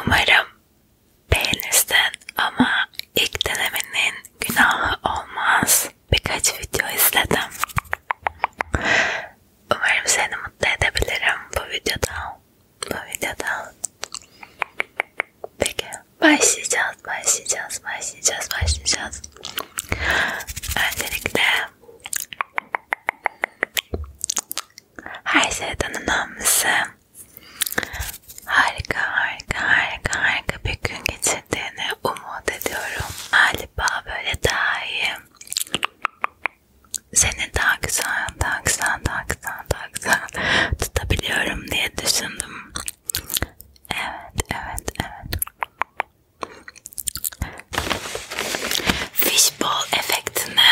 Umarım beğenirsin ama ilk denemenin günahı olmaz. Birkaç video izledim. Umarım seni mutlu edebilirim bu videoda. Bu videoda. Peki başlayacağız, başlayacağız, başlayacağız, başlayacağız. Öncelikle her şeyden önemlisi harika harika harika harika bir gün geçirdiğini umut ediyorum. Galiba böyle daha iyi. Seni daha güzel, daha güzel, daha güzel, daha güzel tutabiliyorum diye düşündüm. Evet, evet, evet. Fishbowl efektine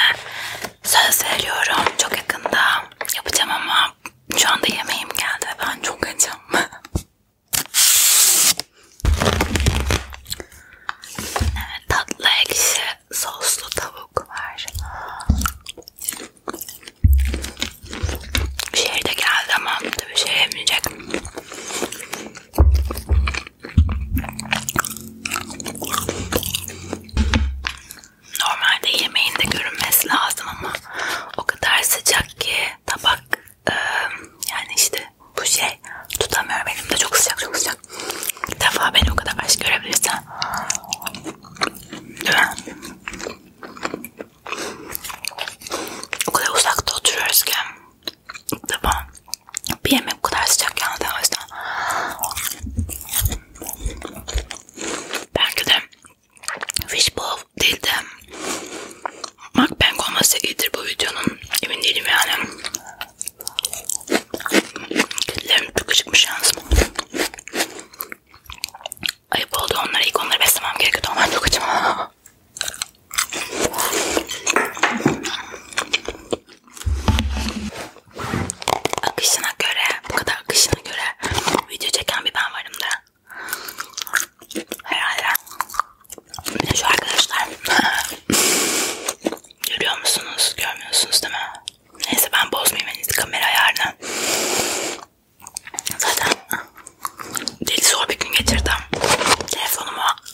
söz veriyorum çok yakında yapacağım ama şu anda yemeğim geldi ben çok acım. evet, tatlı ekşi soslu tavuk var. Şehirde geldi ama tabii şey yemeyecek. Normalde yemeğinde görünmesi lazım ama o kadar sıcak ki tabak e, yani işte bu şey tutamıyorum elimde çok sıcak çok sıcak. Bir defa beni o kadar aç görebilirsen. O kadar uzakta oturuyoruz ki Tamam. Bir yemek bu kadar sıcak yandı o yüzden. Belki de fishbowl değil de mukbang olması iyidir bu videonun. Emin değilim yani. Kedilerim çok çıkmış yalnız. Ayıp oldu onlara ilk onları beslemem gerekiyordu. Onlar çok acım. Akışına göre, bu kadar akışına göre video çeken bir ben varım da. Herhalde. Bir de şu arkadaşlar. Görüyor musunuz? Görmüyorsunuz değil mi? Neyse ben bozmayayım en iyisi kamera ayarını. Zaten deli zor bir gün geçirdim. Telefonumu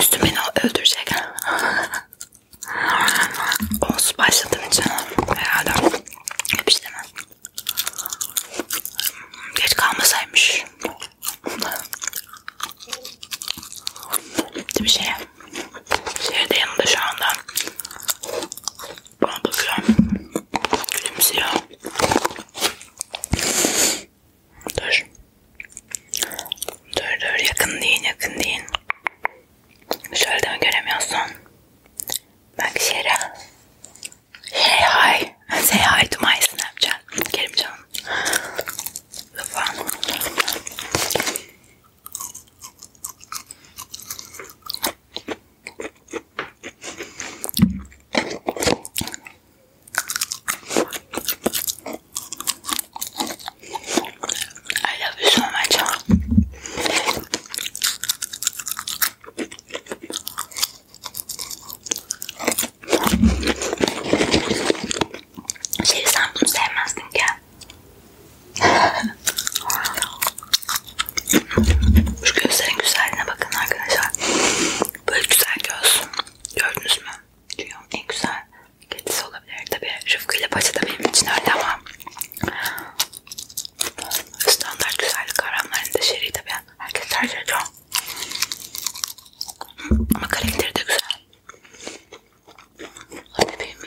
Üstüm beni öldürecek. Olsun başladığım için herhalde hep işlemem. Geç kalmasaymış. Bir şey. Şehirde yanında şu anda. Bana bakıyor. Gülümsüyor. Dur. Dur dur yakın değil yakın değil. Şöyle de mi göremiyorsun? Bak Şera. Hey hi. Say hi to my Snapchat. Kerim canım. Lütfen. I love you so much. Şey sen bunu sevmezdin ki. Şu gözlerin güzelliğine bakın arkadaşlar. Böyle güzel göz. Gördünüz mü? Rüyam en güzel kedisi olabilir. Tabi Rıfkı ile Paça da benim için öyle ama standart güzellik aramlarında şeri tabi. Herkes tercih ediyor. Ama karakteri de güzel. Bebeğim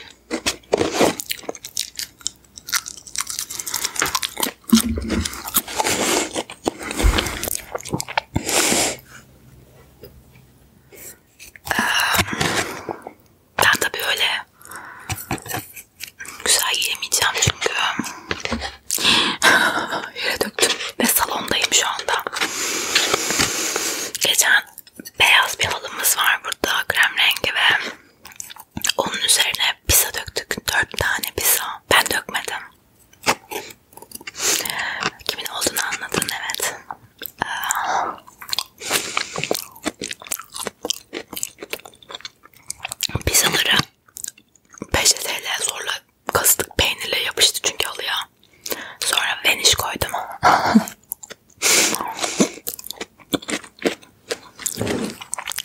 ee, ben tabii öyle güzel yiyemeyeceğim çünkü yere döktüm ve salondayım şu anda. Geçen beyaz bir halımız var burada krem rengi ve onun üzerine pizza döktük. Dört tane pizza. Ben dökmedim. Kimin olduğunu anladın evet. Pizzaları 5 TL zorla kastık peynirle yapıştı çünkü halıya. Sonra vanish koydum.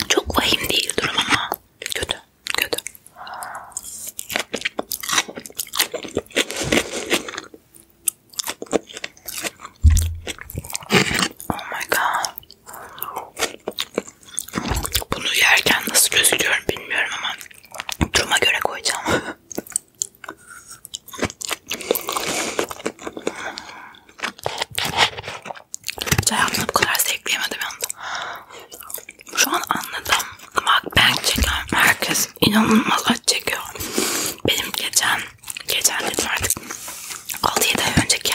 Çok vahim değil durum ama kötü. Kötü. Oh my god. Bunu yerken nasıl gözüküyorum bilmiyorum ama duruma göre koyacağım. Hayatımda bu kadar zevkleyemedim yanda. Şu an anladım. Bak ben çekiyorum. Herkes inanılmaz acı çekiyor. Benim geçen, geçen dedim artık 6-7 ay önceki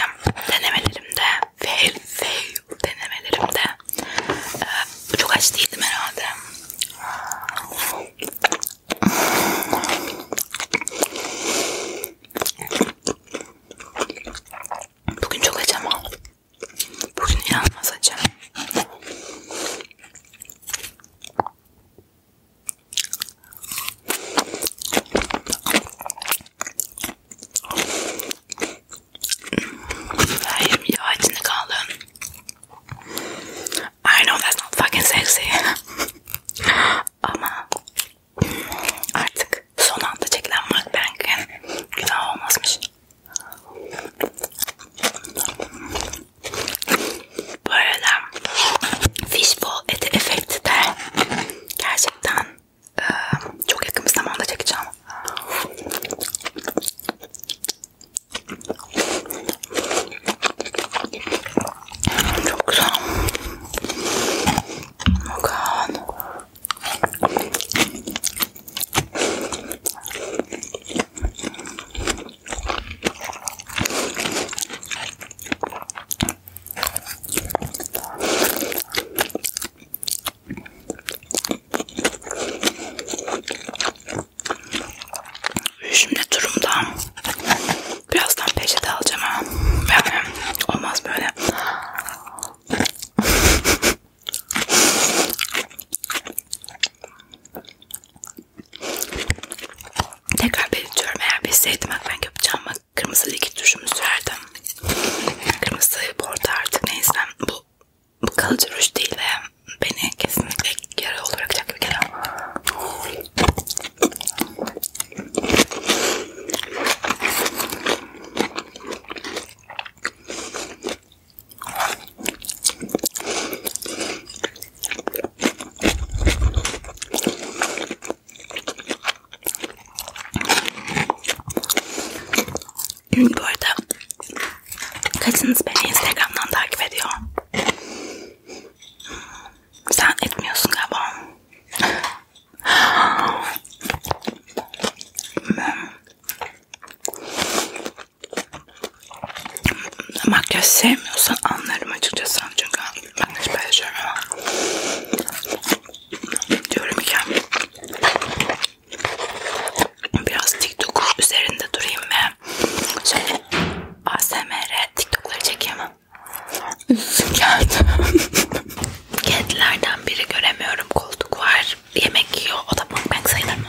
denemelerimde fail fail denemelerimde ee, çok aç değildim herhalde. Bugün çok acı ama Bugün inanılmaz acı. Her yerim yağ içinde kaldı. I know that's not fucking sexy. Ama artık Son anda çekilen mukbang'in günah olmazmış. Bu arada fishbowl eti efekti de gerçekten e, çok yakın bir zamanda çekeceğim. Çok güzel. Bakalım. Oh Şimdi durumda birazdan peçete alacağım ama yani olmaz böyle Tekrar belirtiyorum eğer bilseydim ben yapacağım bak kırmızı likit rujunu sürerdim. Kırmızı bordo artık neyse bu, bu kalıcı ruj değil ve beni kesinlikle yara olarak gibi geliyor. Bu arada kaçınız beni Instagram'dan takip ediyor. Sen etmiyorsun galiba. Makyaj sevmiyorsan anlarım açıkçası çünkü ben hiç böyle şey diyorum ki biraz TikTok üzerinde durayım ve şöyle ASMR TikTok'ları çekeyim geldim. Kedilerden biri göremiyorum. Koltuk var. Yemek yiyor. O da mukbang sayılır mı?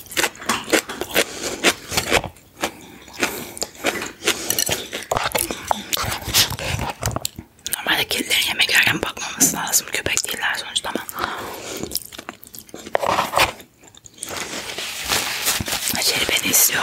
Normalde kedilerin yemek yerken bakmaması lazım. Köpek değiller sonuçta ama. Şeri beni istiyor.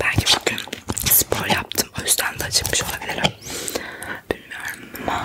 Belki bugün spor yaptım. O yüzden de acıkmış olabilirim. Bilmiyorum ama...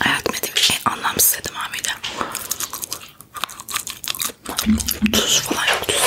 hayatımda dediğim şey anlamsız dedim abiyle. Tuz falan yok üzerinde.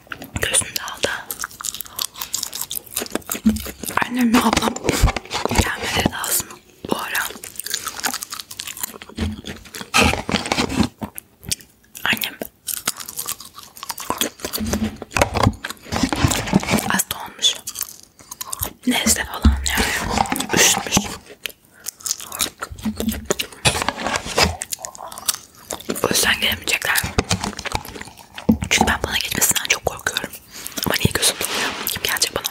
Gözünde aldı. Annemle ablam gelmedi lazım bu ara. Annem hasta olmuş. Nezle falan yani. Üşütmüş. O yüzden gelemeyecekler. Çünkü ben bana gelmesinden çok korkuyorum. Ama niye gözüm doluyor? Kim gelecek bana?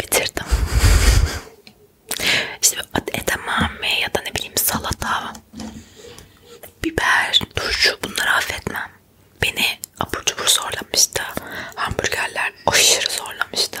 Bitirdim. işte edamame ya da ne bileyim salata, biber, turşu bunları affetmem. Beni abur cubur zorlamıştı. Hamburgerler aşırı zorlamıştı.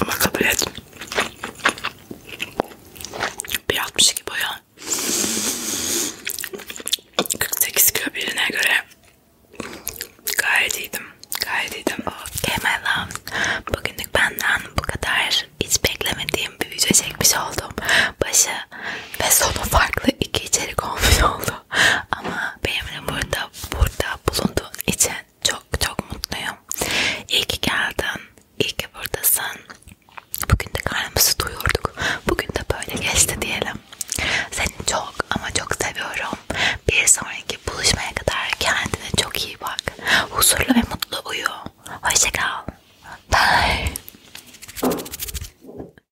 Ama kabul et. 1.62 boyu. 48 kilo birine göre gayet iyiydim. Gayet iyiydim. Okay my Bugünlük benden bu kadar. Hiç beklemediğim bir video çekmiş oldum. Başı ve sonu farklı iki içerik olmuş oldu. Ama benimle burada burada bulunduğun için çok çok mutluyum. İyi ki geldin. İyi ki buradasın. Bugün de karnımızı duyurduk. Bugün de böyle geçti diyelim. Seni çok ama çok seviyorum. Bir sonraki buluşmaya kadar kendine çok iyi bak. Huzurlu ve mutlu uyu. Hoşça kal. Bye.